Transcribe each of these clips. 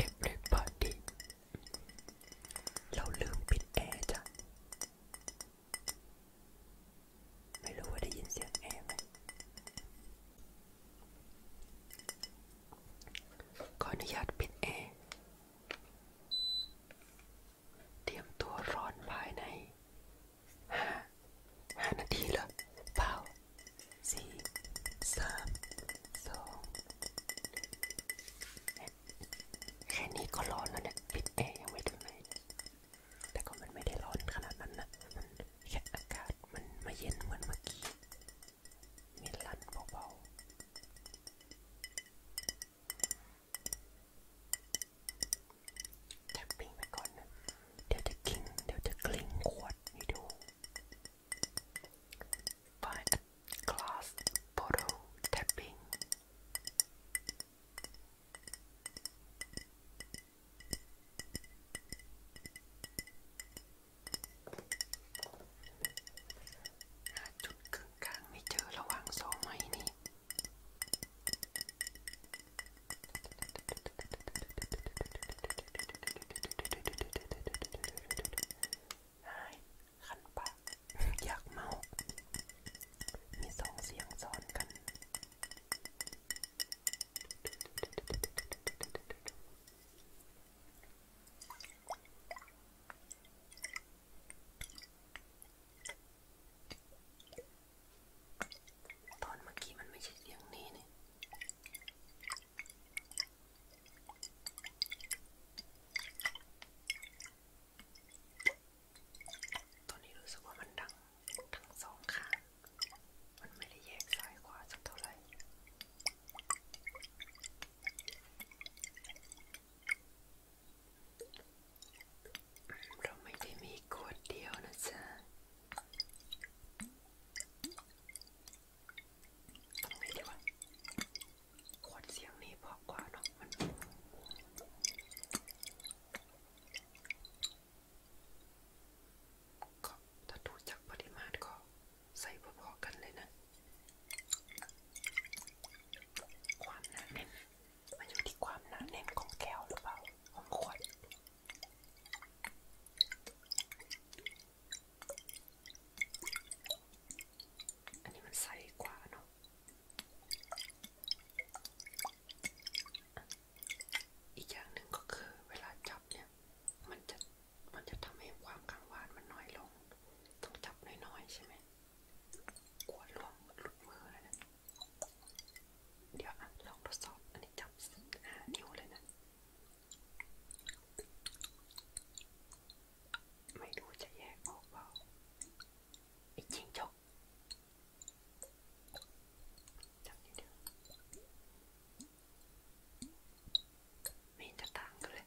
Everybody เราลืมปิดแอร์จ้ะ ไม่รู้ว่าได้ยินเสียงแอร์ไหมขออนุญาตปิดแอร์ เตรียมตัวร้อนภายในห้าห้านาทีเหรอเปล่าสี่สามสองแค่นี้ก็ร้อนแล้วเนี่ยปิดแอร์ยังไม่ถึงไหนแต่ก็มันไม่ได้ร้อนขนาดนั้นนะมันแค่อากาศมันมาเย็นเหมือนเมื่อกี้มีลั่นเบาๆแท็บปิ้งไปก่อนนะเดี๋ยวจะกิ้งเดี๋ยวจะกลิ้งขวดให้ดู Find a glass bottle tapping หาจุดกึ่งกลางไม่เจอระหว่างสองไม้นี่หายคันปากอยากเมามีสองเสียงซ้อนกันเตอนเมื่อกี้มันไม่ใช่เสียงนี้นี่ ตอนนี้รู้สึกว่ามันดังทั้งสองข้าง มันไม่ได้แยกซ้ายขวาสักเท่าไหร่เราไม่ได้มีกดเดียวนะจ๊ะเตรงไหนดีวะขวดเสียงนี่พอกว่าเนาะมันก็ถ้าดูจากปริมาณก็ใส่พอๆกันเลยนะ ความหนาแน่นมันอยู่ที่ความหนาแน่นของแก้วหรือเปล่า ของขวดอันนี้มันใสกว่าเนาะอีกอย่างหนึ่งก็คือเวลาจับเนี่ย มันจะมันจะทำให้ความกังวานมันน้อยลง ต้องจับน้อยๆใช่ไหมกลัวล่วงหลุดมือแล้วนะเดี๋ยวลองทดสอบอันนี้จับนิ้วเลยนะ ไม่ดูจะแยกออกเปล่า อีกจริงจกจับนิดเดียวไม่จะต่างกันเลย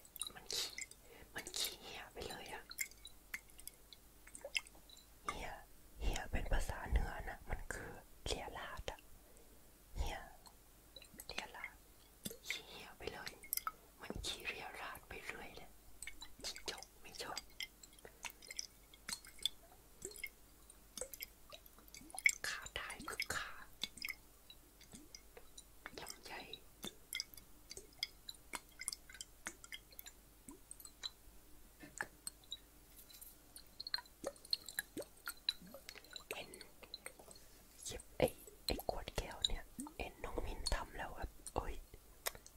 มันขี้มันขี้เหี่ยไปเลยอะเหี่ยเหี่ยเป็นภาษาเหนือนะมันคือเลียลาดอะเหี่ยเลียลาดขี้เหี่ยไปเลย มันขี้เลียลาดไปเรื่อยเลยจิจบไม่จบขาได้คือขาทำใจเอ็นยิบไอ้ ไอ้ขวดแก้วเนี่ยเอ็นน้องมินทำแล้วครับโอ้ย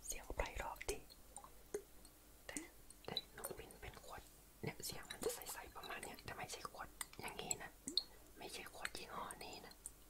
เสียงไพเราะดีแต่แต่น้องมินเป็นขวดเนี่ย เสียงมันจะใสๆประมาณเนี้ยแต่ไม่ใช่ขวดอย่างนี้นะ ไม่ใช่ขวดยี่ห้อนี้นะ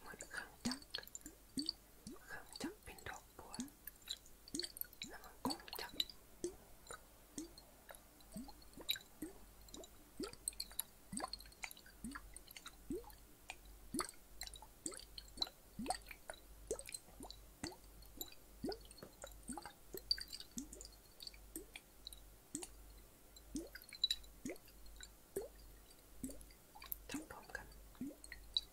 เหมือนเครื่องจักรเครื่องจักรเป็นดอกบัวแล้วมันกลมจักรทำพร้อมกัน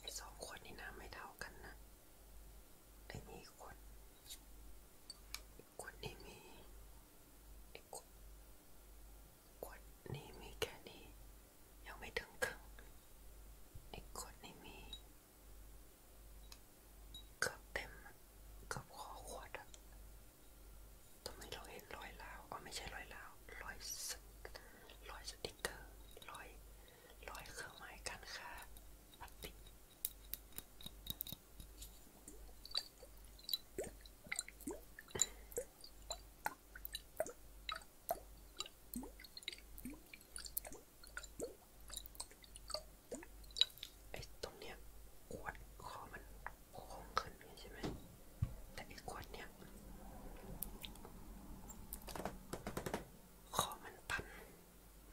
ไอ้สองขวดนี่น้ำไม่เท่ากันนะไอ้นี่ขวดขวดนี้มีไอ้ขวดขวดนี้มีแค่นี้ ยังไม่ถึงครึ่งไอ้ขวดนี้มีเกือบเต็มเกือบคอขวดอะทำไมเราเห็นรอยลาวอ๋อไม่ใช่รอยลาวรอยรอยสติกเกอร์รอยรอยเครื่องหมายการค้าพลาสติกไอ้ตรงเนี้ยขวดคอมันโค้งขึ้นใช่ไหม แต่ไอ้ขวดเนี้ยคอมันตัน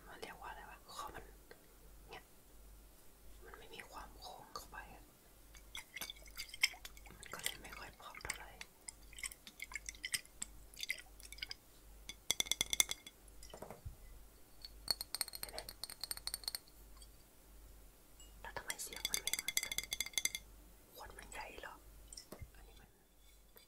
มันเรียกว่าอะไรวะคอมันเนี่ย มันไม่มีความโค้งเข้าไป มันก็เลยไม่ค่อยพร้อมเท่าไหร่แล้วทำไมเสียงมันไม่เหมือนกันขวดมันใหญ่หรอ อันนี้มันไ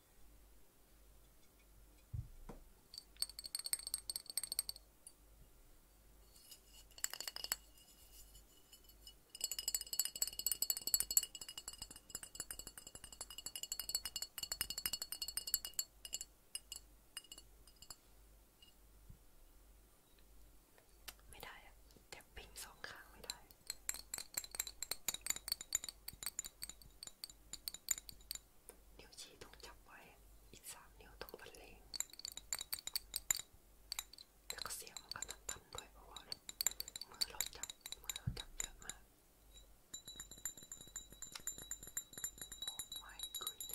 ม่ได้เดี๋ยวปิ้งสองข้างไม่ได้นิ้วชี้ต้องจับไว้อีกสามนิ้วต้องบรรเลงแล้วก็เสียงมันก็ต้องทำด้วยเพราะว่ามือเราจับมือเราจับเยอะมาก Oh my goodness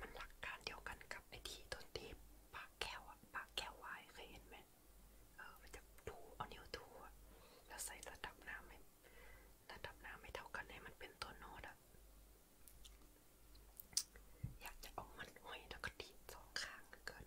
มันหลักการเดียวกันกับไอที่ต้นที่ปากแก้วอะปากแก้ววายเคยเห็นไหมเออมันจะดูเอานิ้วดูอะแล้วใส่ระดับน้ำไม่ระดับน้ำไม่เท่ากันให้มันเป็นตัวโน้ตอะอยากจะเอามันห้อยแล้วก็ดีดสองข้างเกิน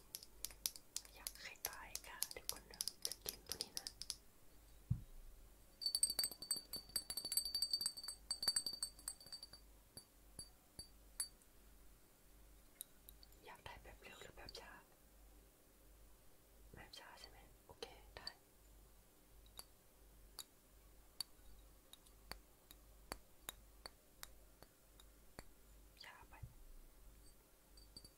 อยากให้ตายค่ะเดี๋ยวคนเดิมจะกินตัวนี้นะอยากได้แบบเร็วหรือแบบช้าแบบช้าใช่ไหมโอเคได้ช้าไป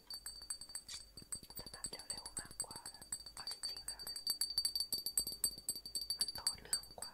แต่แบบเร็วๆมากกว่าเอาจริงๆแล้วนะมันต่อเรื่องกว่า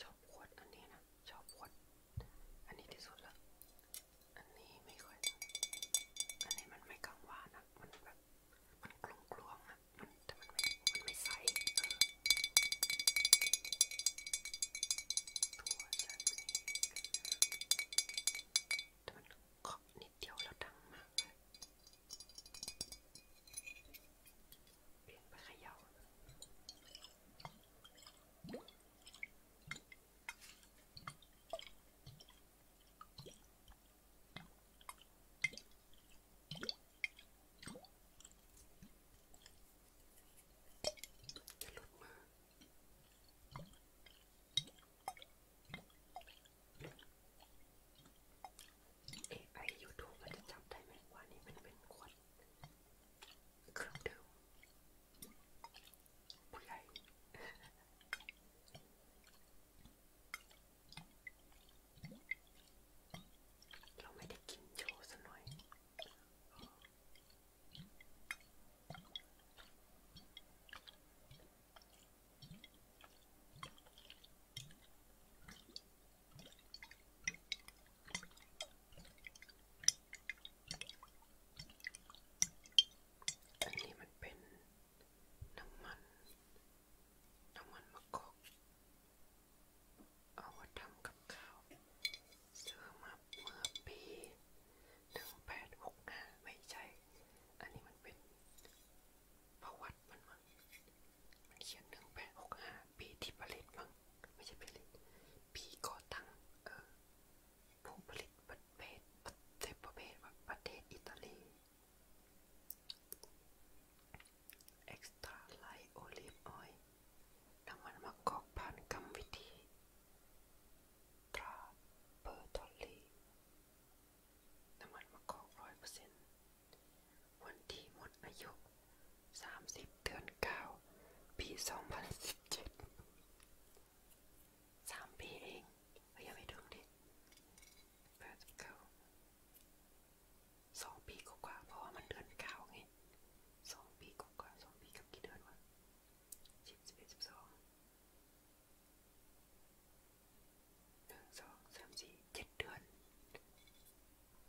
ชอบขวดอันนี้นะชอบขวดอันนี้ที่สุดละอันนี้ไม่ค่อยอันนี้มันไม่กังวานนะมันแบบมันกลมกลวงอะมันแต่มันไม่มันไม่ใส ตัวฉันนี่แต่มันขอบนิดเดียวแล้วดังมากเลยเปลี่ยนไปขยาวจะหลุดมาเอไอยูทูบมันจะจำได้ไหมว่านี่มันเป็นขวดเครื่องดื่มผู้ใหญ่เราไม่ได้กินโชว์ซะหน่อยอันนี้มันเป็นน้ำมัน น้ำมันมะกอกเอาไว้ทำกับข้าวซื้อมาเมื่อปีหนึ่งแปดหกห้าไม่ใช่อันนี้มันเป็นประวัติมันมัน มันเขียนหนึ่งแปดหกห้าปีที่ผลิตมั้งไม่ใช่ผลิตพี่ก่อตั้งเออผู้ผลิตประเทศประเทศประเทศอิตาลี Extra Light Olive Oil น้ำมันมะกอกผ่านกรรมวิธีตราเปอร์ทอลลีน้ำมันมะกอกร้อยเปอร์เซ็นต์วันที่หมดอายุสามสิบเดือนเก้าปีสองพันสิบเจ็ดสามปีเองเฮ้ยยังไม่ถึงดิแปดสิบเก้าสองปีกว่าเพราะว่ามันเดือนเก้าไงสองปี กว่าสองปีกับกี่เดือนวะสิบสิบเอ็ดสิบสองหนึ่งสองสามสี่เจ็ดเดือน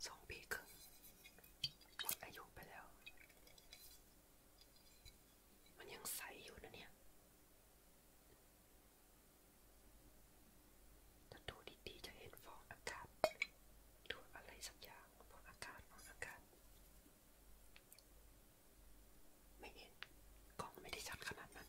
สองปีครึ่งหมดอายุไปแล้วมันยังใสอยู่นะเนี่ย ถ้าดูดีๆจะเห็นฟองอากาศหรืออะไรสักอย่างฟองอากาศ ฟองอากาศ ไม่เห็นกล้องไม่ได้ชัดขนาดนั้น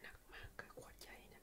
หนักมากค่ะขวดใหญ่นะ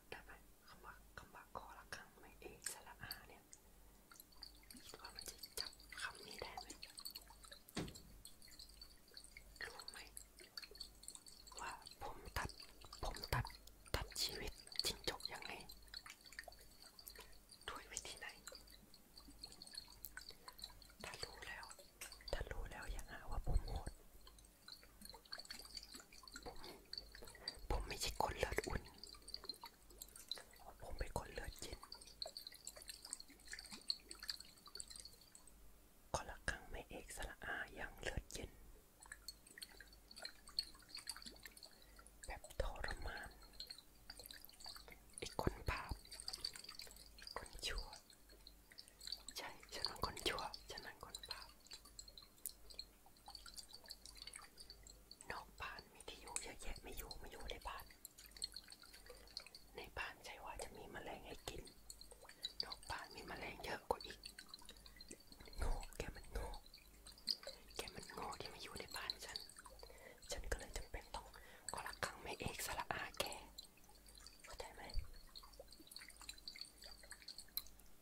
บได้ไหมคำว่าคำว่าคอละครั้งไม่เอกสระอาเนี่ยคิดว่ามันจะจับคำนี้ได้ไหมรู้ไหมว่าผมตัดผมตัดตัดชีวิตจริงจบยังไงด้วยวิธีไหนถ้ารู้แล้วถ้ารู้แล้วอย่าหาว่าผมโหดผมผมไม่ใช่คนเลือดอุ่นผมเป็นคนเลือดเย็นขอละครั้งไม่เอกสระอาอย่างเลือดเย็นแบบทรมานอีกคนบาปอีกคนชั่วใช่ฉันเป็นคนชั่วฉันเป็นคนบาปนอกบ้านมีที่อยู่เยอะแยะไม่อยู่ไม่อยู่ในบ้าน ในบ้านใช่ว่าจะมีมแมลงให้กิน นอกบ้านมีมแมลงเยอะกว่าอีกโง่แกมันโง่แกมันโง่ที่มาอยู่ในบ้านฉัน ฉันก็เลยจำเป็นต้องขอรักขังไม่เอกสละอาแกเข้าใจไหม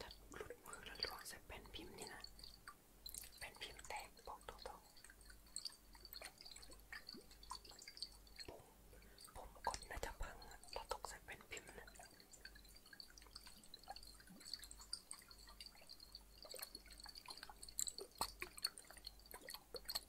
ถ้าหลุดมือแล้วล่วงใส่แผ่นพิมพ์นี่นะแผ่นพิมพ์แตกบอกตรงๆผมผมกดน่าจะพังแล้วตกใส่แผ่นพิมพ์นะ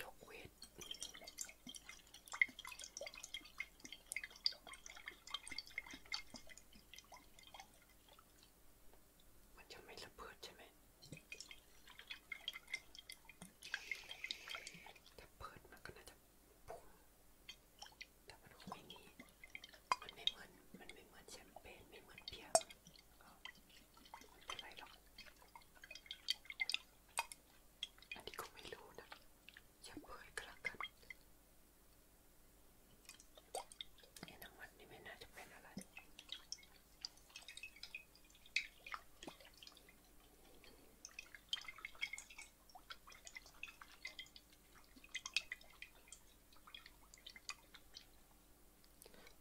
ยกเวทมันจะไม่ระเบิดใช่ไหมถ้าเปิดมันก็น่าจะแต่มันคงไม่ดีมันไม่เหมือน มันไม่เหมือนแชมเปญไม่เหมือนเบียร์มันเป็นไรหรอกอันนี้ก็ไม่รู้นะอย่าเผยกระกันไอ้น้ำมันนี่ไม่น่าจะเป็นอะไร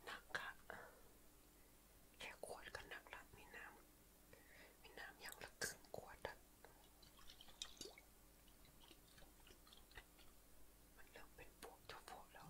หนักอะแค่ขวดก็หนักละมีน้ำมีน้ำยังละครึ่งขวดอะมันเริ่มเป็นพวกเจ้าพวกแล้ว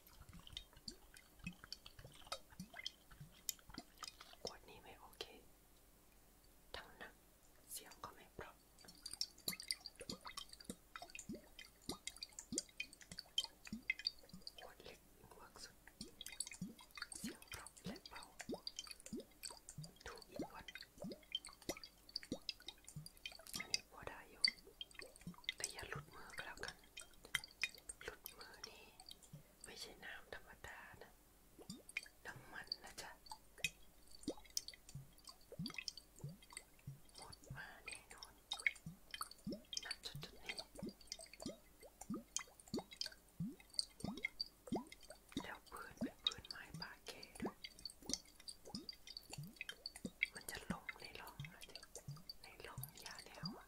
ขวดนี้ไม่โอเค ทั้งหนักเสียงก็ไม่เพราะขวดเล็กเวิร์กสุดเสียงเพราะและเบาถูกอีกวันอันนี้พอได้อยู่แต่อย่าหลุดมือก็แล้วกัน หลุดมือนี่ไม่ใช่น้ำธรรมดานะน้ำมันนะจ๊ะหมดมาแน่นอนนับจุดจุดนี้แล้วพื้นเป็นพื้นไม้ปาเกด้วย มันจะลงในร่องนะจ๊ะ ในร่องยาแล้วอะ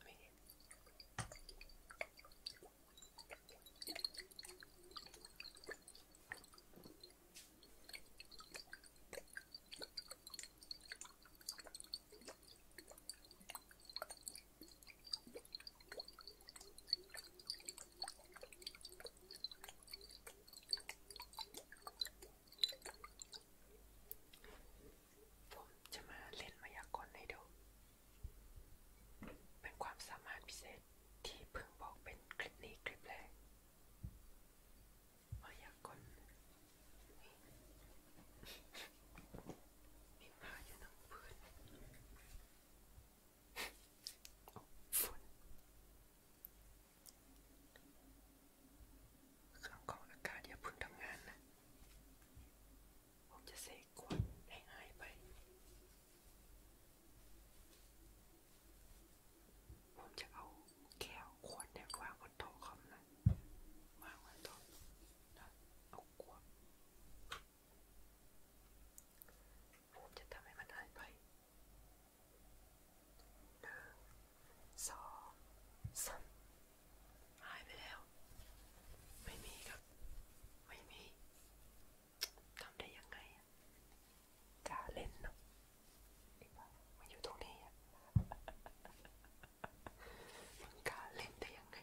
ผมจะมาเล่นมายากลให้ดูเเป็นความสามารถพิเศษที่เพิ่งบอกเป็นคลิปนี้คลิปแรก มาอยากกลมีหมาอยู่ทั้งพื้นฝุ่นเครื่องกรองอากาศอย่าเพิ่งทำงานนะผมจะเสกขวดให้หายไป ผมจะเอาแก้วขวดเนี่ยวางบนโต๊ะคอมนะวางบนโต๊ะแล้วเอาขวด ผมจะทำให้มันหายไปหนึ่งสองสามหายไปแล้ว ไม่มีครับไม่มีทำได้ยังไงจะเล่นเนาะมันอยู่ตรงนี้อะมันกล้าเล่นได้ยังไง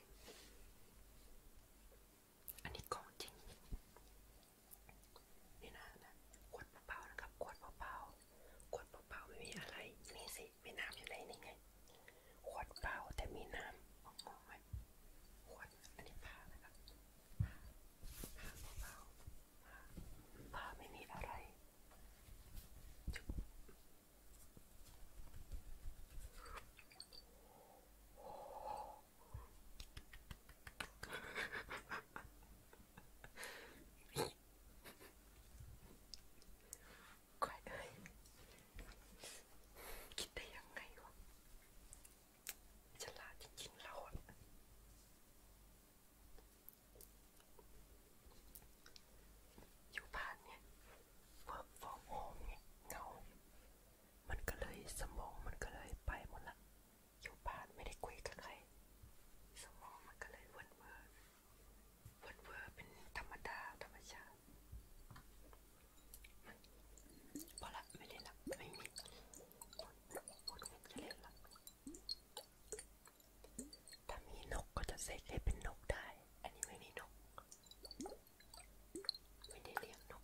อันนี้ของจริงนี่นะนะขวดเปล่าๆนะครับขวดเปล่าๆขวดเปล่าๆไม่มีอะไรนี่สิมีน้ำอยู่ในนี่ไงขวดเปล่าแต่มีน้ำออกมาไหมขวดอันนี้ผ้านะครับผ้าเปล่าผ้าไม่มีอะไรก้อยเอ้ยคิดได้ยังไงวะฉลาดจริงๆเราอะอยู่บ้านเนี่ย work from home เนี่ยเงามันก็เลยสมองมันก็เลยไปหมดละอยู่บ้านไม่ได้คุยกับใครสมองมันก็เลยวนเวอร์วนเวอร์เป็นธรรมดาธรรมชาติพอละไม่เล่นละไม่มีหมดหมดจะเล่นละถ้ามีนกก็จะเสกให้เป็นนกได้อันนี้ไม่มีนก ไม่ได้เลี้ยงนก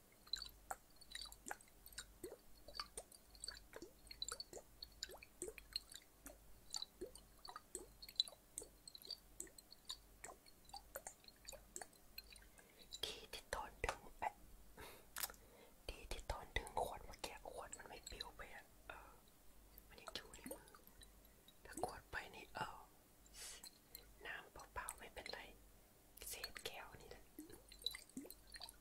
ดีที่ตอนดึงแอะดีที่ตอนดึงขวดมาแกะขวดมันไม่ปิวไปอ่ะ เออมันยังอยู่ในมือถ้าขวดไปนี่เออน้ำเปล่าๆไม่เป็นไรเศษแก้วนี่แหละ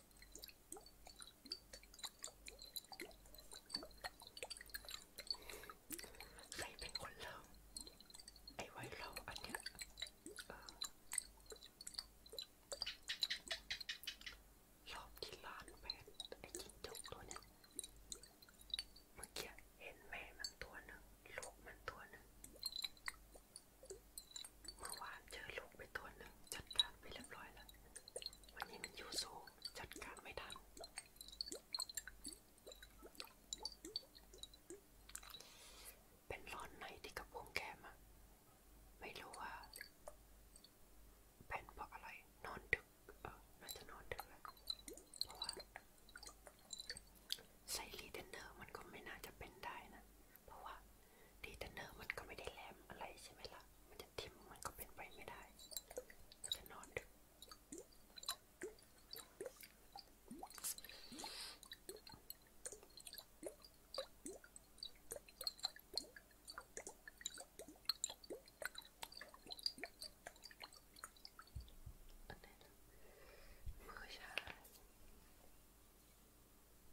ใครเป็นคนเริ่มไอ้ไวเราอันเนี้ยรอบที่ลานแมนไอ้จิ้งจกตัวเนี้ยเมื่อกี้เห็นแม่มันตัวหนึ่งลูกมันตัวหนึ่งเมื่อวานเจอลูกไปตัวหนึ่งจัดการไปเรียบร้อยแล้ว วันนี้มันอยู่สูงจัดการไม่ทันเป็นร้อนในที่กระพุ้งแกมะไม่รู้ว่าเป็นเพราะอะไรนอนดึกเออน่าจะนอนดึกแล้วเพราะว่าไซรีเดนเนอร์มันก็ไม่น่าจะเป็นได้นะเพราะว่าดีเทนเนอร์มันก็ไม่ได้แหลมอะไรใช่ไหมละ่ะ มันจะทิ่มมันก็เป็นไปไม่ได้ก็จะนอนดึกอันนี้มือชา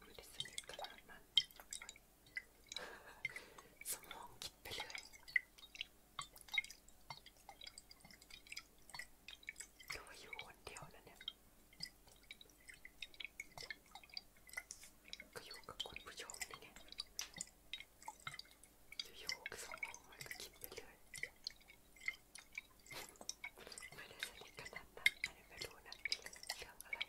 ไม่ได้สนิทขนาดนั้นสมองคิดไปเลยก็ว่าอยู่คนเดียวนะเนี่ยก็อยู่กับคนผู้ชมนี่ไงอยู่กับสมองมันก็คิดไปเลยไม่ได้สนิทขนาดนั้นไม่ได้รู้นะเรื่องอะไร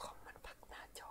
คอมมันพักหน้าจอ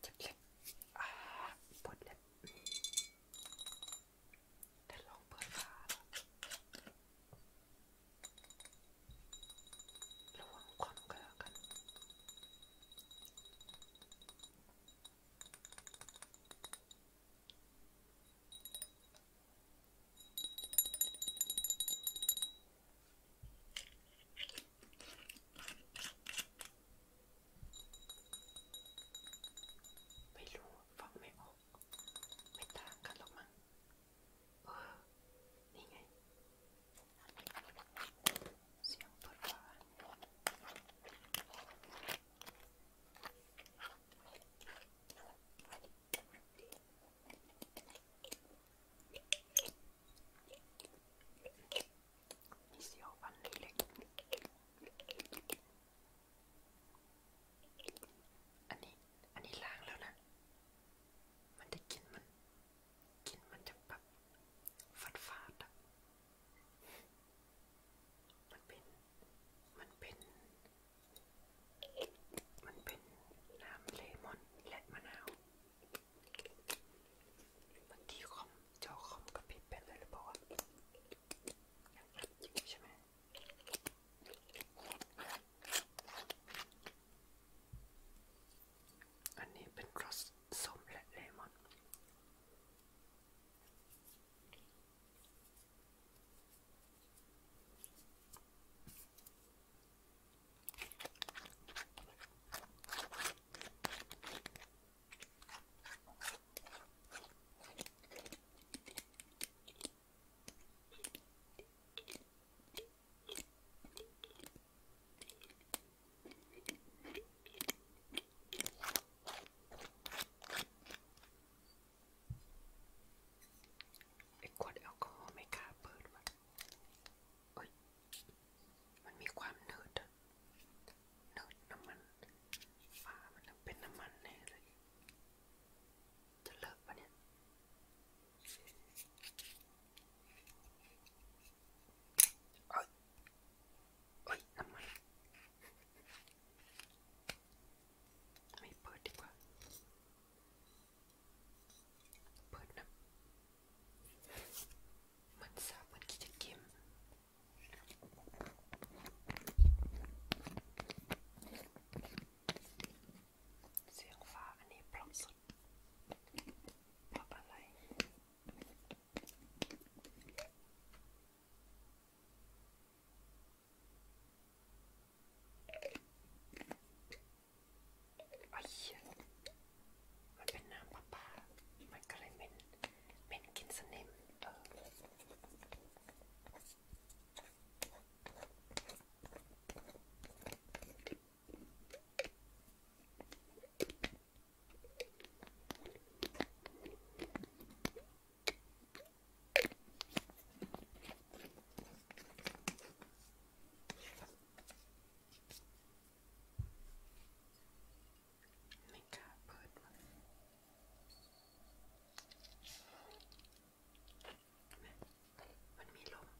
เจ็บเล็บอ่าปวดเล็บแต่ลองเปิดฝาระวังควันกันแล้วกันไม่รู้ฟังไม่ออกไม่ต่างกันหรอกมั้งเออนี่ไงเสียงเปิดฝาเสียวฟันเล็กๆอันนี้ อันนี้ล้างแล้วนะ มันจะกินมัน กินมันจะแบบฟาดฟาดอะมันเป็น มันเป็นมันเป็นน้ำเลมอนและมะนาวบางทีคอมจอคอมกับพิบเป็นเลยหรือเปล่ายังอัดอยู่ใช่ไหมอันนี้เป็นรสส้มและเลมอนไอ้ขวดแอลกอฮอล์ไม่กล้าเปิดว่ะเอ้ยมันมีความเนิดเนิดน้ำมันฝามันเป็นน้ำมันแน่เลยจะเลิกปะเนี่ยเอ้ยเอ้ยน้ำมันไม่เปิดดีกว่าเปิดนะมันสาบมันกิจเกมเสียงฟ้าอันนี้เพราะสุดเพราะอะไรไอ้เหี้ยมันเป็นน้ำประปามันก็เลยเหม็นเหม็นกินสนิมเออไม่กล้าเปิดมันมันมีลม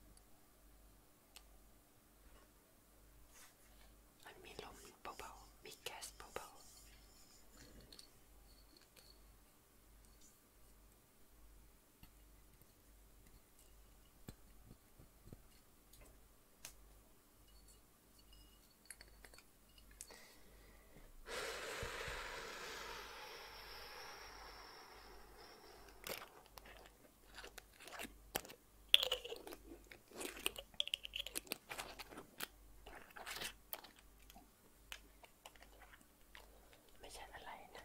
มันมีลมเบาๆมีแก๊สเบาๆไม่ใช่อะไรนะ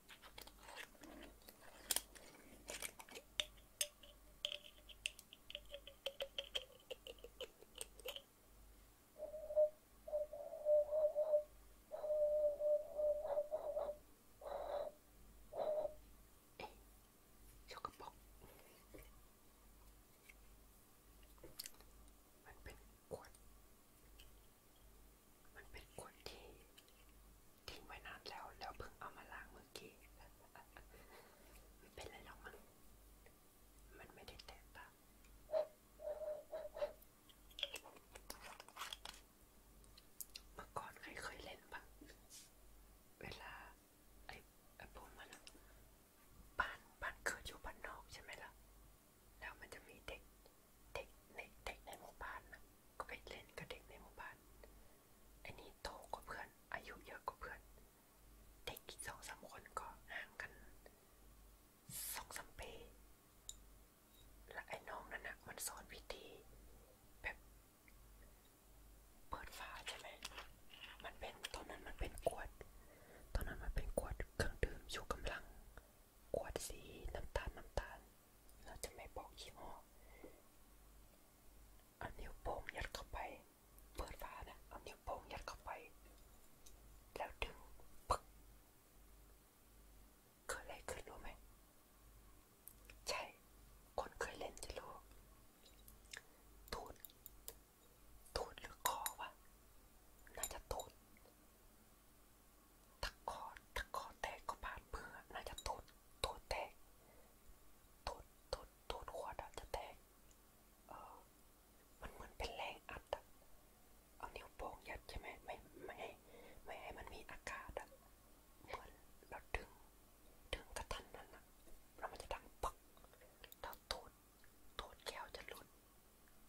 สกปรกมันเป็นขวดมันเป็นขวดที่ทิ้งไว้นานแล้วแล้วเพิ่งเอามาล้างเมื่อกี้ไม่เป็นไรหรอกมั้งมันไม่ได้แตกต่างเมื่อก่อนใครเคยเล่นปะเวลาไอ้ไอ้พวกมันบ้านบ้านเกิดอยู่บ้านนอกใช่ไหมล่ะแล้วมันจะมีเด็กเด็กในเด็กในหมู่บ้านนะก็ไปเล่นกับเด็กในหมู่บ้านอันนี้โตกว่าเพื่อน อายุเยอะกว่าเพื่อนเด็กอีกสองสามคนก็ห่างกันสองสามปีและไอ้น้องนั่นนะมันสอนวิธีแบบเปิดฝาใช่ไหมมันเป็นตอนนั้นมันเป็นขวด ตอนนั้นมันเป็นขวดเครื่องดื่มชูกำลังขวดสีน้ำตาลน้ำตาลเราจะไม่บอกยี่ห้อเอานิ้วโป้งยัดเข้าไปเปิดฝานะเอานิ้วโป้งยัดเข้าไป แล้วดึง ปึ๊กเกิดอะไรขึ้นรู้ไหม ใช่ คนเคยเล่นจะรู้ตูดตูดหรือคอวะ น่าจะตูดถ้าคอถ้าคอแตกก็บาดมือน่าจะตูดตูดแตกตูดตูดตูดขวดอะจะแตกเออ มันเหมือนเป็นแรงอัดอะเอานิ้วโป้งยัดใช่ไหมไม่ ไม่ให้ไม่ให้มันมีอากาศอะเหมือนเราดึงดึงกระทันนั้นอะแล้วมันจะดังปักแล้วตูดตูดแก้วจะหลุด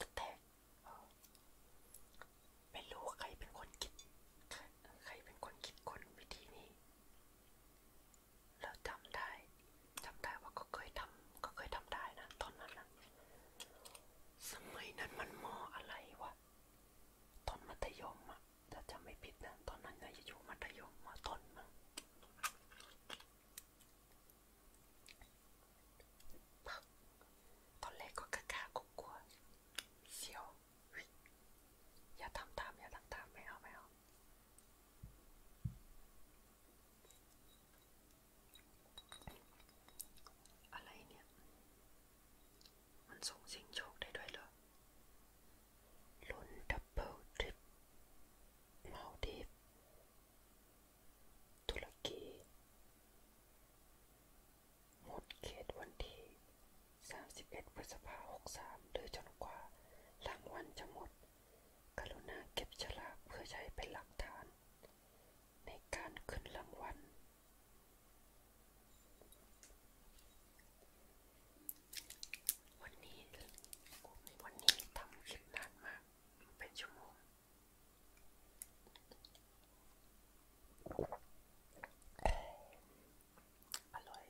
จะแตกเออ ไม่รู้ใครเป็นคนคิดใครใครเป็นคนคิดค้นวิธีนี้ เราจำได้จำได้ว่าก็เคยทำก็เคยทำได้นะ ตอนนั้นนะสมัยนั้นมันมออะไรวะตอนมัธยมอะถ้าจำไม่ผิดนะตอนนั้นนะอยู่มัธยมมาตอนมั้งตอนแรกก็กล้ากลัวเสียวอย่าทำตามอย่าทำตามไม่เอาไม่เอาอะไรเนี่ยมันส่งสิ่งโชคได้ด้วยเหรอลุ้นดับเบิลทริปมาดิฟตุรกีหมดเขตวันที่ 31พฤษภาคม63หรือจนกว่ารางวัลจะหมดกรุณาเก็บฉลาก เพื่อใช้เป็นหลักฐาน ในการขึ้นรางวัลวันนี้วันนี้ทำคลิปนานมากเป็นชั่วโมงอร่อย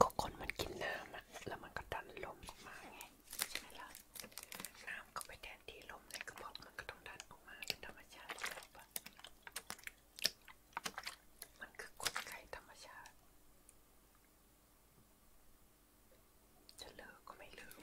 ก็คนมันกินน้ำอะแล้วมันก็ดันลมออกมาไงใช่ไหมล่ะน้ำก็ไปแทนที่ลมในกระเพาะมันก็ต้องดันออกมาเป็นธรรมชาติแล้วปะมันคือกลไกธรรมชาติจะเลิกก็ไม่เลิก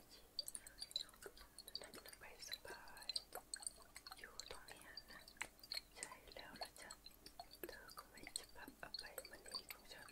นั่งไปสบายอยู่ตรงนี้นะใช่แล้วละจ้ะเธอก็ไม่จะพับเอาไปมันเองของฉัน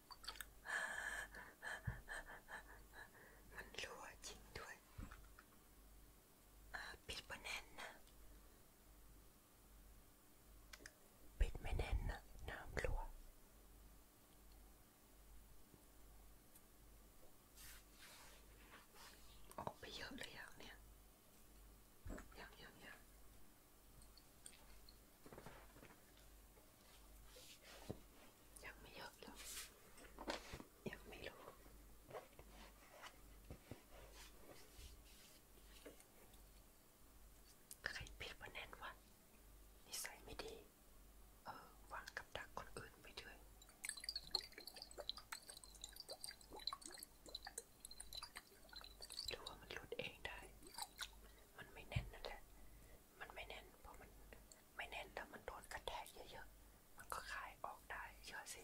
มันรัวจริงด้วยปิดไม่แน่นนะปิดไม่แน่นนะน้ำรัวออกไปเยอะเลยอย่างเนี้ยอย่างอย่างอย่างยังไม่เยอะหรอกยังไม่รู้ ใครผิดวะแน่นวะนิสัยไม่ดี เออวางกับดักคนอื่นไปด้วยหรือว่ามันหลุดเองได้ มันไม่แน่นนั่นแหละมันไม่แน่นเพราะมันไม่แน่นถ้ามันโดนกระแทกเยอะๆ มันก็คลายออกได้เชื่อสิ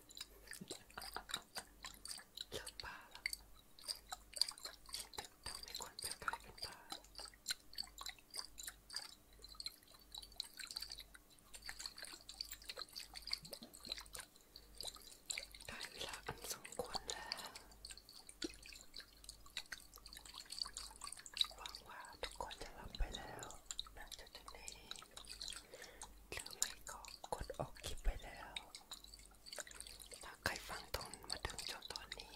เลิกปลาละทำให้คนเป็นกลายเป็นปลาได้เวลาอันสมควรแล้วหวังว่าทุกคนจะหลับไปแล้วนะจุดนี้หรือไม่ก็กดออกคลิปไปแล้ว ถ้าใครฟังตอนมาถึงจนตอนนี้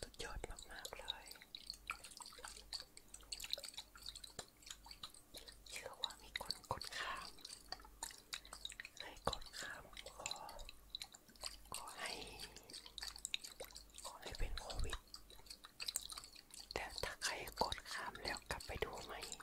สุดยอดมากๆเลย เชื่อว่ามีคนกดข้ามให้กดข้ามขอขอให้ขอให้เป็นโควิดแต่ถ้าใครกดข้ามแล้วกลับไปดูใหม่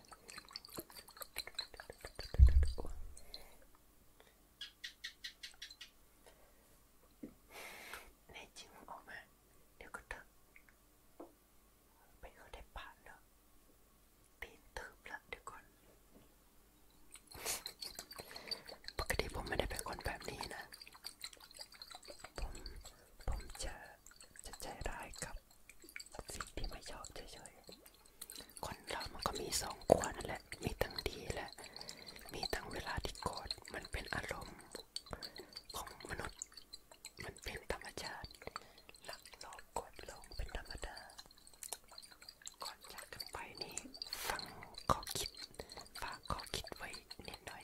ในจริงออกมาเดี๋ยวก็ตึกเป็นเขาได้ผ่านแล้วตีนทึบละเดี๋ยวก่อนปกติผมไม่ได้เป็นคนแบบนี้นะผมผมจะจะใจร้ายกับสิ่งที่ไม่ชอบเฉยๆ คนเรามันก็มีสองขั้วนั่นแหละ มีทั้งดีและ มีทั้งเวลาที่โกรธมันเป็นอารมณ์ของมนุษย์มันเป็นธรรมชาติ หลักโลกกดลงเป็นธรรมดาก่อนจากกันไปนี่ฟังข้อคิด ฝากข้อคิดไว้นิดหน่อย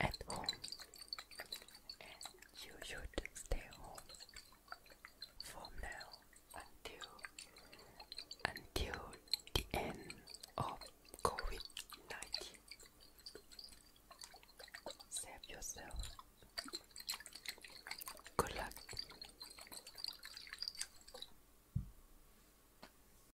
at home and you should stay home from now until until the end of COVID-19 save yourself good luck